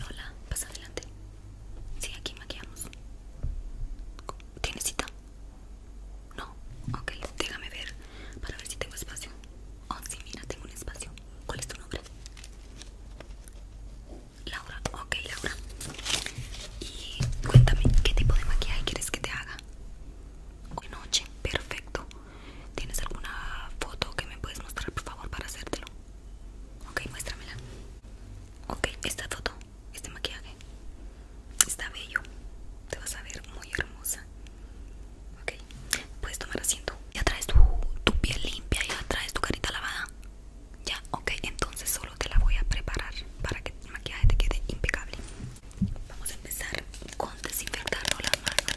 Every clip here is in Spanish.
hola pasa adelante. Sí, aquí maquillamos. ¿Tienes cita? No, ok, déjame ver para ver si tengo espacio. Oh, sí, mira, tengo un espacio. ¿Cuál es tu nombre? Laura, ok, Laura. Y cuéntame, ¿qué tipo de maquillaje quieres que te haga? Hoy noche, perfecto. ¿Tienes alguna foto que me puedes mostrar, por favor, para hacértelo? Ok, muéstramela. Ok, esta foto, este maquillaje. Está bello. Te vas a ver muy hermosa. Ok, puedes tomar asiento. Ya traes tu, piel limpia, ya traes tu carita lavada. Ya, ok, entonces solo te la voy a preparar para que el maquillaje te quede impecable. Vamos a empezar con desinfectarnos las manos.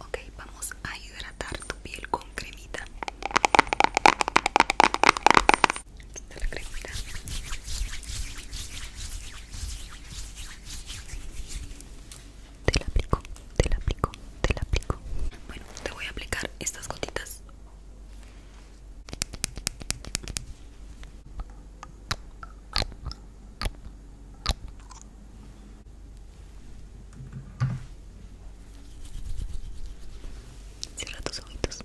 Ok, vamos a hidratar tu piel con cremita. Aquí la cremita. Te la aplico te la aplico, te la aplico. Bueno, te voy a aplicar estas gotitas. Cierra tus ojitos.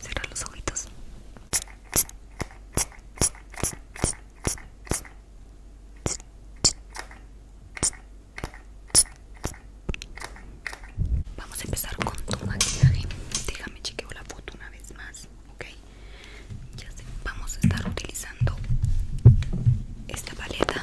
Cierra los ojitos. Vamos a empezar con tu maquillaje. Déjame chequeo la foto una vez más, ¿ok? Ya sé, vamos a estar utilizando esta paleta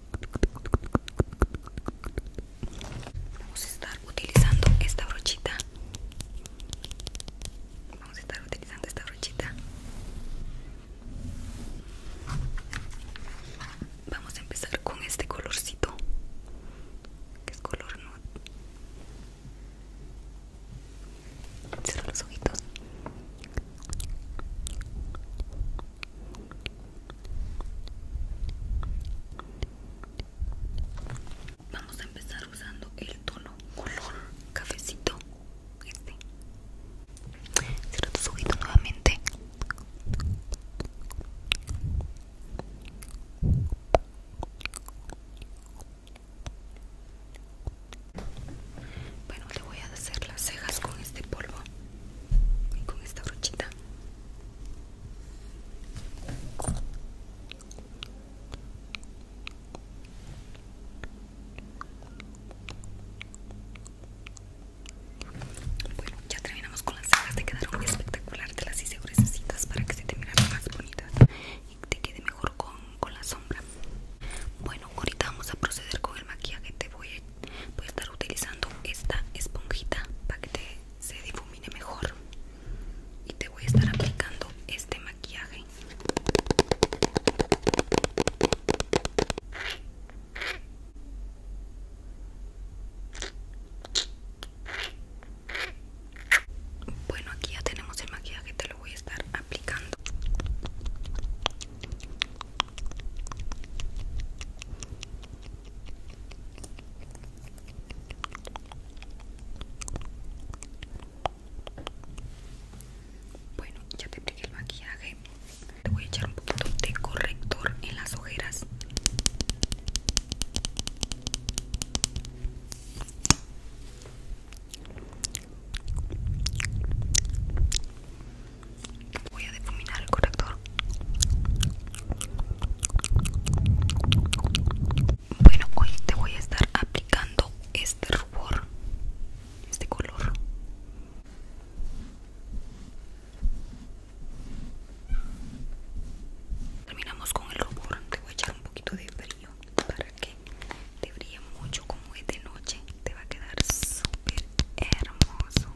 Vamos a estar utilizando esta brochita. Vamos a estar utilizando esta brochita. Vamos a empezar con este colorcito, que es color nude. Cierra los ojitos. Vamos a empezar usando el tono color cafecito. Este. Cierra tus ojitos nuevamente. Bueno, le voy a hacer las cejas con este polvo con esta brochita bueno, ya terminamos con las cejas, te quedaron espectacular, te las hice gruesas para que se te miran más bonitas y te quede mejor con, con la sombra. Bueno, ahorita vamos a proceder con el maquillaje, te voy a voy a estar utilizando esta esponjita para que se difumine mejor y te voy a estar aplicando este maquillaje bueno aquí ya tenemos el maquillaje te lo voy a estar aplicando bueno, ya te pegué el maquillaje. te voy a echar un poquito de corrector en las ojeras. Voy a difuminar el corrector. Bueno, hoy te voy a estar aplicando este rubor, este color. Terminamos con el rubor. Te voy a echar un poquito de brillo para que te brille mucho como es de noche te va a quedar súper hermoso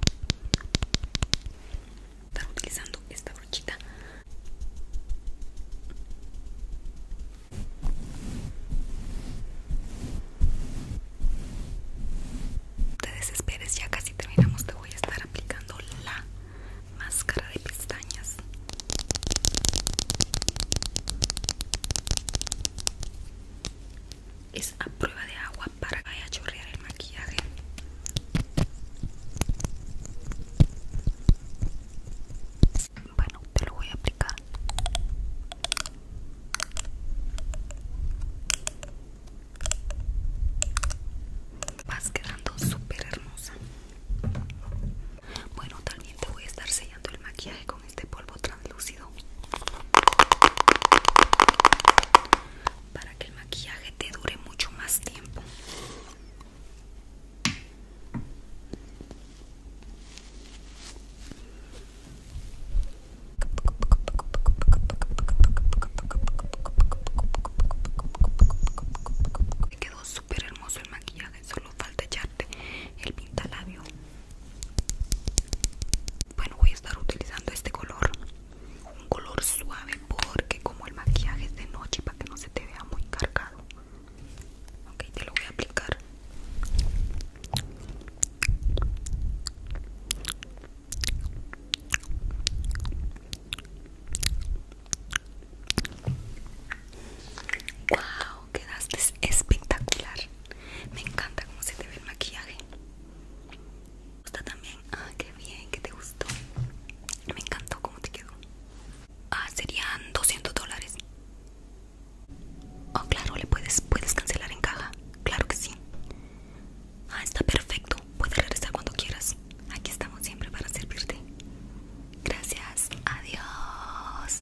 estar utilizando esta brochita te desesperes ya casi terminamos te voy a estar aplicando la máscara de pestañas es a prueba de agua para que vaya a chorrear el maquillaje bueno te lo voy a aplicar vas quedando súper hermosa bueno también te voy a estar sellando el maquillaje de este polvo translúcido para que el maquillaje te dure mucho más tiempo me quedó súper hermoso el maquillaje solo falta echarte el pintalabio bueno voy a estar utilizando este color un color suave porque como el maquillaje es de noche para que no se te vea muy cargado ok te lo voy a aplicar Wow, quedaste espectacular. Me encanta cómo se te ve el maquillaje. está gusta también? Ah, qué bien, que te gustó. Me encantó cómo te quedó. Ah, serían 200 dólares. Oh, claro, le puedes, puedes cancelar en caja. Claro que sí. Ah, está perfecto. Puedes regresar cuando quieras. Aquí estamos siempre para servirte. Gracias. Adiós.